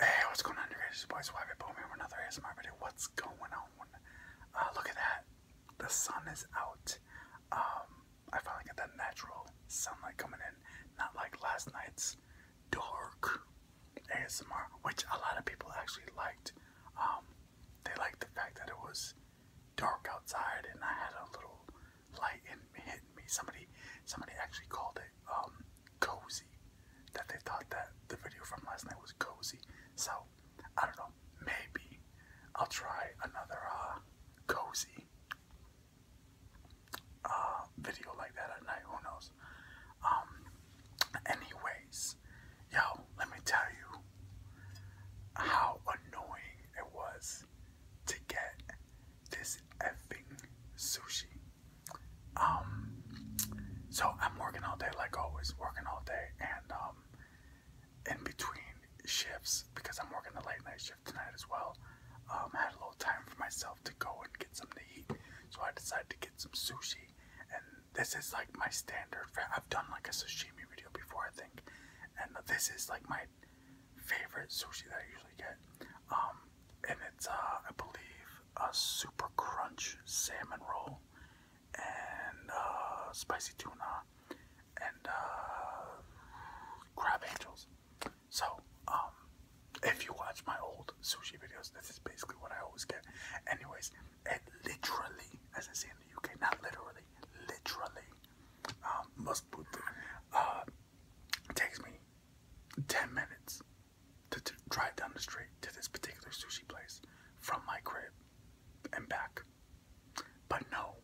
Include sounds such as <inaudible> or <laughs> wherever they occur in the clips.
hey, what's going on, you guys? It's your boy with another ASMR video. What's going on? Uh, look at that. The sun is out. Um, I finally get that natural sunlight coming in. Not like last night's dark ASMR, which a lot of people actually liked. Um, they liked the fact that it was dark outside and I had a little light and hitting me. Somebody, somebody actually called it um, cozy. That they thought that the video from last night was cozy. So I don't know. Maybe I'll try another uh, cozy uh, video like that at night. Who knows? Um, anyways, yo, let me tell you how annoying it was to get this effing sushi. Um, so I'm working all day, like always, working all day, and um, in between shifts, because I'm working the late night shift tonight as well, um, I had a little time for myself to go and get something to eat. So I decided to get some sushi, and this is like my standard. I've done like a sashimi video before, I think, and this is like my favorite sushi that I usually get. Um, and it's, uh, I believe, a super crunch salmon roll and uh, spicy tuna and uh, crab angels. So, um, if you watch my old sushi videos, this is basically what I always get. Anyways, it literally, as I say in the UK, not literally, literally um, must put the, uh, it takes me 10 minutes to, drive down the street to this particular sushi place from my crib and back. But no,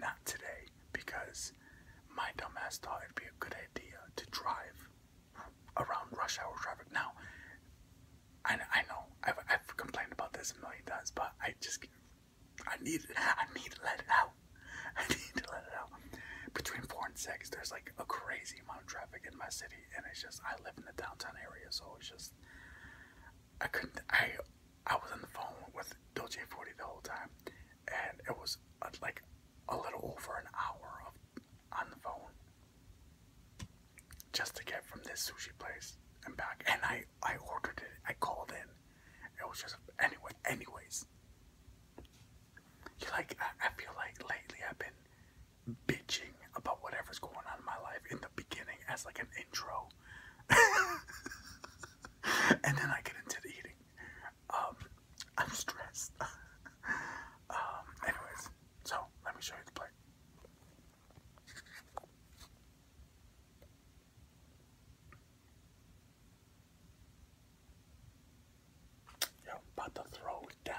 not today because my dumbass thought it'd be a good idea to drive around rush hour traffic. Now, I, know I've, I've complained about this a million times, but I just I need I need to let it out. <laughs> I need to let it out. Between four and six, there's like a crazy amount of traffic in my city, and it's just I live in the downtown area, so it's just I couldn't. I I was on the phone with Dolce Forty the whole time, and it was uh, like a little over an hour of on the phone just to get from this sushi place and back. And I I ordered it. I called in. It was just anyway. Anyways, you like I, feel like lately I've been bitching about whatever's going on in my life in the beginning as like an intro, <laughs> and then I get into the eating. Um, I'm stressed. <laughs> Um, anyways, so let me show you the plate. Yeah, I'm about to throw it down.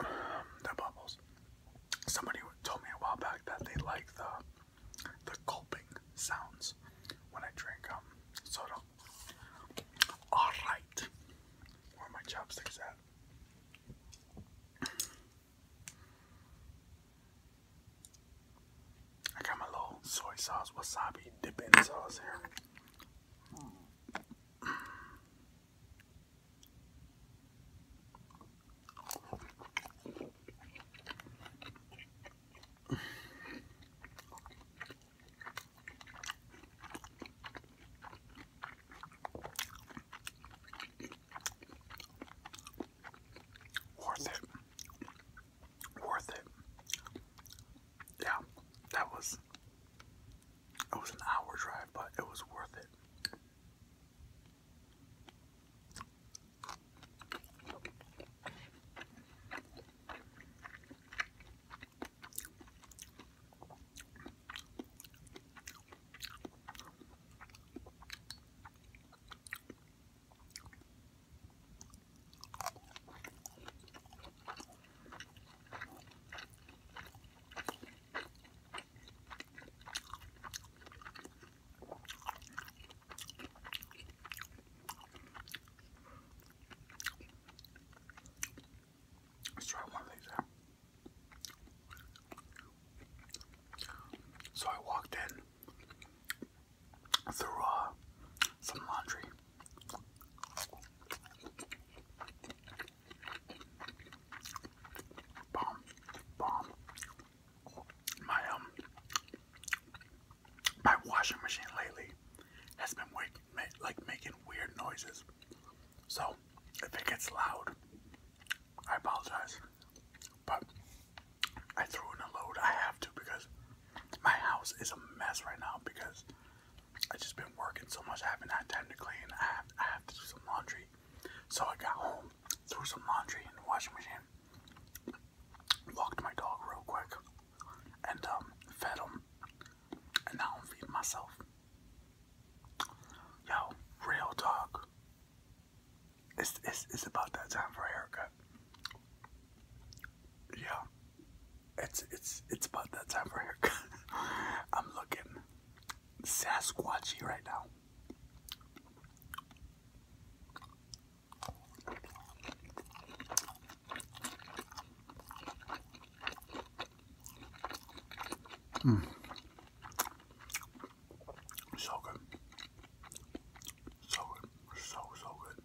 Um, the bubbles. Somebody told me a while back that they like the the gulping sounds when I drink um, soda. All right, where are my chopsticks at? I got my little soy sauce wasabi dipping sauce here. Worth it. Worth it. Yeah, that was it was an hour drive, but it was worth it. Let's try one of these So I walked in through some laundry. Bomb, bomb. My um, my washing machine lately has been like making weird noises. So if it gets loud, I apologize. But I threw in a load. I have to because my house is a mess right now because i just been working so much, I haven't had time to clean. I have, to do some laundry. So I got home, threw some laundry in the washing machine, walked my dog real quick, and um, fed him. And now I'm feeding myself. Yo, real talk. It's, it's, about that time for haircut. Yeah it's it's it's about that time for haircut. <laughs> I'm looking Sasquatchy right now. Hmm. So good. So good. So so good.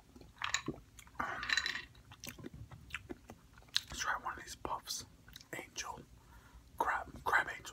Um, let's try one of these puffs. Angel. Crab. Crab angels.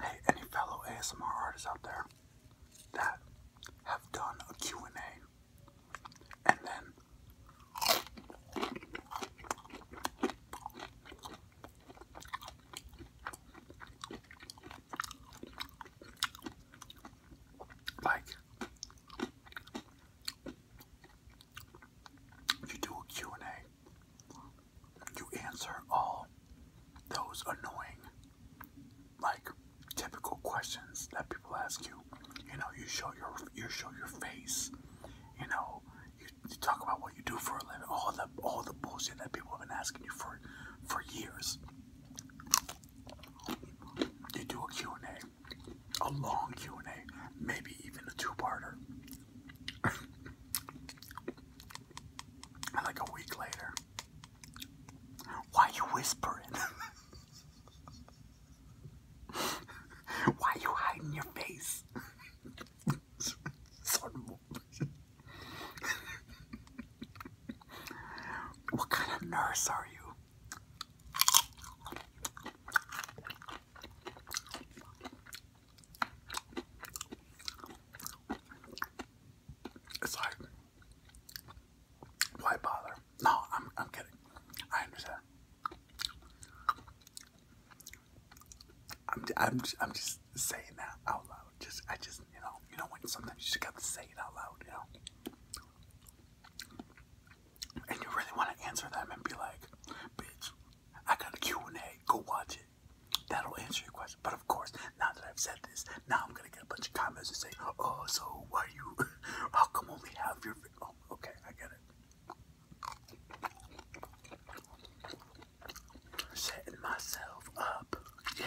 Hey, any fellow ASMR artists out there that have done a Q&A and then like you do a Q&A, you answer all those annoying, like typical questions that people ask you. You know, you show your you show your face. You know, you, you talk about what you do for a living. All the all the bullshit that people have been asking you for for years. You do a Q&A a long Q&A, maybe even a two-parter. <laughs> like a week later, why you whispering? <laughs> why you hiding your face? <laughs> what kind of nurse are you? It's like, why bother? No, I'm, I'm kidding. I understand. I'm, I'm, I'm just saying that out loud. Just, I just, you know, you know when sometimes you just got to say it out loud, you know and you really want to answer them and be like, bitch, I got a Q&A, go watch it. That'll answer your question. But of course, now that I've said this, now I'm gonna get a bunch of comments and say, oh, so why you, <laughs> how come only half your, oh, okay, I get it. Setting myself up, yeah.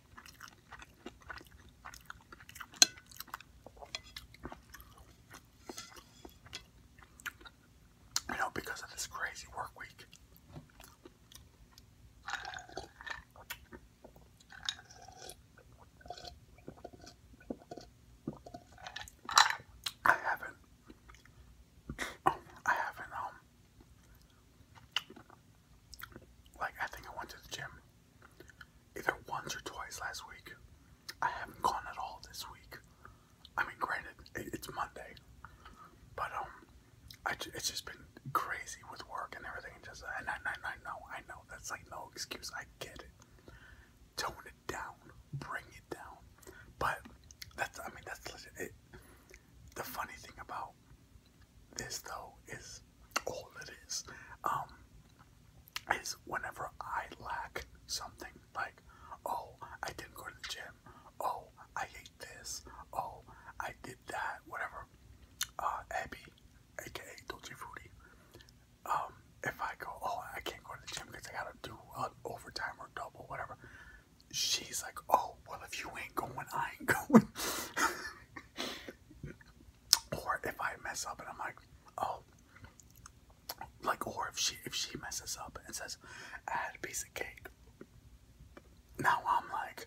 You know, because of this crazy work week. I haven't. I haven't, um. Like, I think I went to the gym either once or twice last week. I haven't gone at all this week. I mean, granted, it's Monday, but um, I, it's just been crazy with work and everything. And just I, I, I know, I know that's like no excuse. I get it. Tone it down, bring it down. But that's I mean that's It, the funny thing about this though is all it is. Um, is whenever I lack something, like, oh, I didn't go to the gym, oh, I ate this, oh, I did that, whatever. Uh, Abby, aka Dolce Fruity, um, if I go, oh, I can't go to the gym because I gotta do overtime or double, whatever, she's like, oh, well, if you ain't going, I ain't <laughs> going or if I mess up and I'm like, oh, like, or if she if she messes up and says, I had a piece of cake. Now I'm like,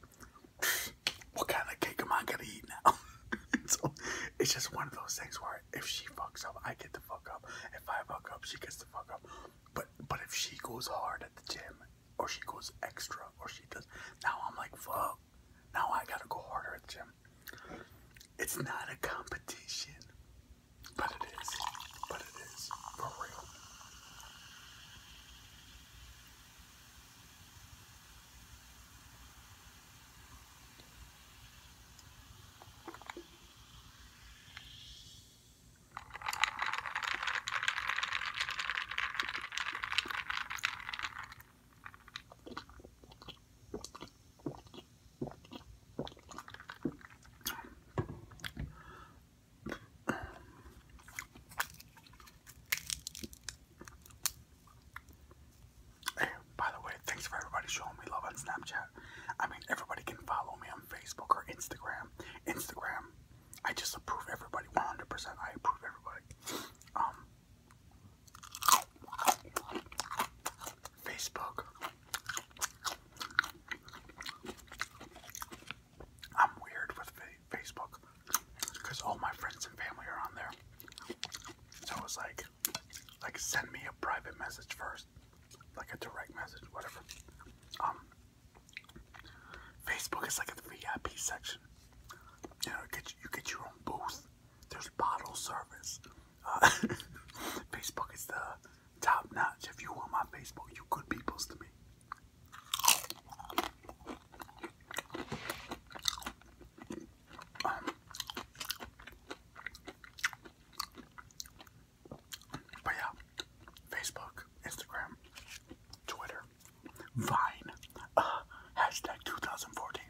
what kind of cake am I gonna eat now? <laughs> so it's just one of those things where if she fucks up, I get to fuck up. If I fuck up, she gets to fuck up. But but if she goes hard at the gym or she goes extra, or she does. Now I'm like, fuck. Now I gotta go harder at the gym. It's not a competition, but it is. But it is for real by the way, thanks for everybody showing me love on Snapchat. I mean, everybody can follow me on Facebook or Instagram. Instagram I just approve everybody 100%. I approve everybody. Um, Facebook. I'm weird with Facebook because all my friends and family are on there. So it's like, like send me a private message first, like a direct message, whatever. Um, Facebook is like a VIP section. You know, you get, your own booth. There's bottle service. Uh, <laughs> Facebook is the top notch. If you want my Facebook, you good peoples to me. Um, but yeah, Facebook, Instagram, Twitter, Vine. hashtag 2014.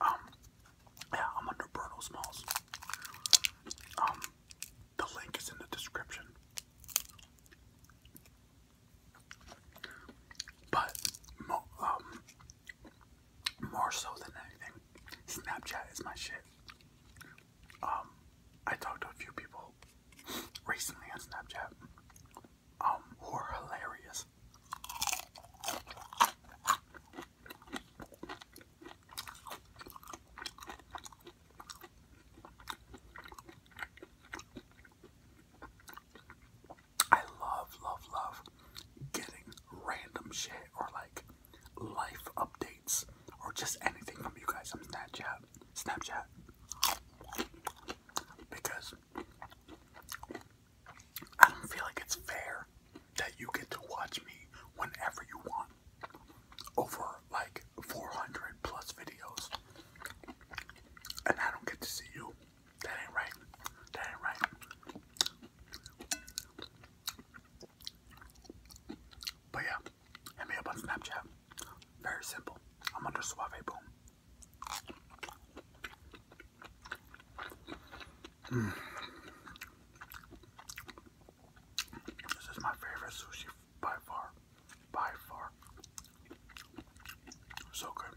Um, yeah, I'm under Bruno Smalls. Um, the link is in the description. But, um, more so than anything, Snapchat is my shit. I talked to a few people recently on Snapchat, um, who hilarious. I love, love, love getting random shit or like life updates or just anything from you guys on Snapchat. Snapchat because I don't feel like it's fair that you get to watch me whenever you want over like 400 plus videos and I don't get to see you. That ain't right. That ain't right. But yeah, hit me up on Snapchat. Very simple. I'm under Suave Boom. Mm. This is my favorite sushi by far. By far. So good.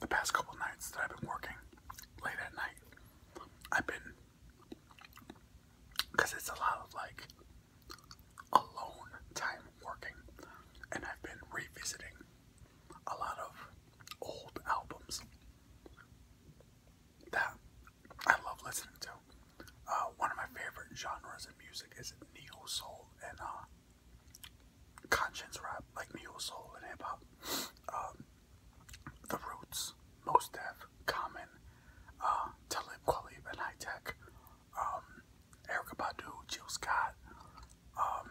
The past couple nights that I've been working late at night, I've been it's a lot of like alone time working, and I've been revisiting a lot of old albums that I love listening to. Uh, one of my favorite genres in music is neo soul and uh, conscience rap, like neo soul and hip hop. Um, the Roots, Most Def, uh, Talib Kweli, and High Tech um, Erica Badu, Jill Scott, um,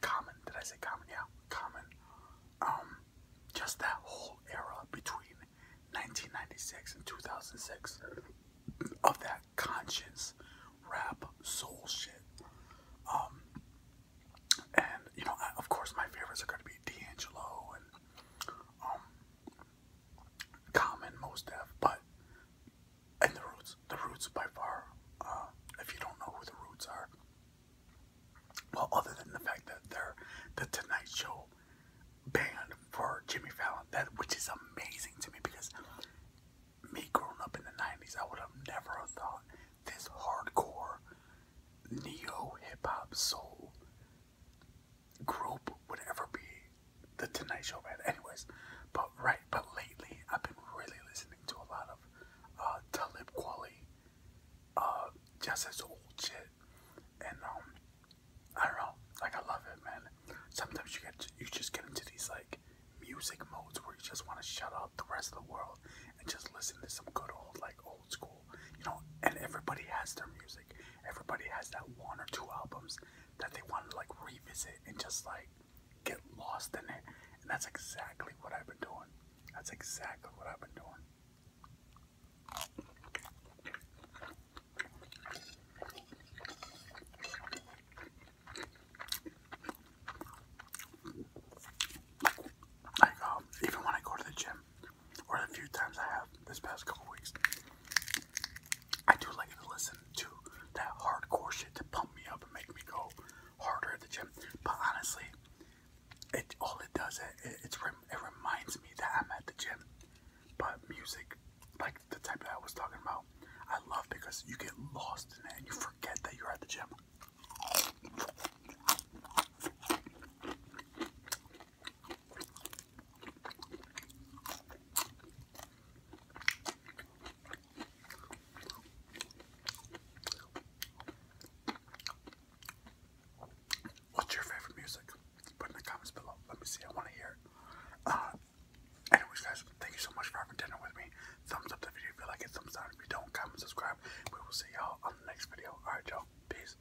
Common, did I say Common? Yeah, Common. Um, just that whole era between 1996 and 2006 of that conscience rap soul shit. Um, and you know, of course, my favorites are going to be D'Angelo and common most def, but and the roots, the roots by far. Uh, if you don't know who the roots are, well, other than the fact that they're the Tonight Show band for Jimmy Fallon, that which is amazing to me because me growing up in the '90s, I would have never thought this hardcore neo hip hop soul group would ever be the Tonight Show man. Anyways, but right, but lately I've been really listening to a lot of uh, Talib Kweli, uh, just his old shit, and um, I don't know, like I love it, man. Sometimes you get, you just get into these like music modes where you just want to shut out the rest of the world and just listen to some good old like old school, you know. And everybody has their music everybody has that one or two albums that they want to like revisit and just like get lost in it. And that's exactly what I've been doing. That's exactly what I've been doing. Like, um, even when I go to the gym, or the few times I have this past couple weeks, I do like to listen to that hardcore shit to pump me up and make me go harder at the gym. But honestly, it all it does it, it, it reminds me that I'm at the gym. But music, like the type that I was talking about, I love because you get lost in it and you forget that you're at the gym. What's your favorite music? Put in the comments below. Let me see. I want to hear it. Uh, anyways, guys, thank you so much for having dinner with me. Thumbs up the video if you like it. Thumbs down if you don't. Comment, subscribe. We will see y'all on the next video. Alright, y'all. Peace.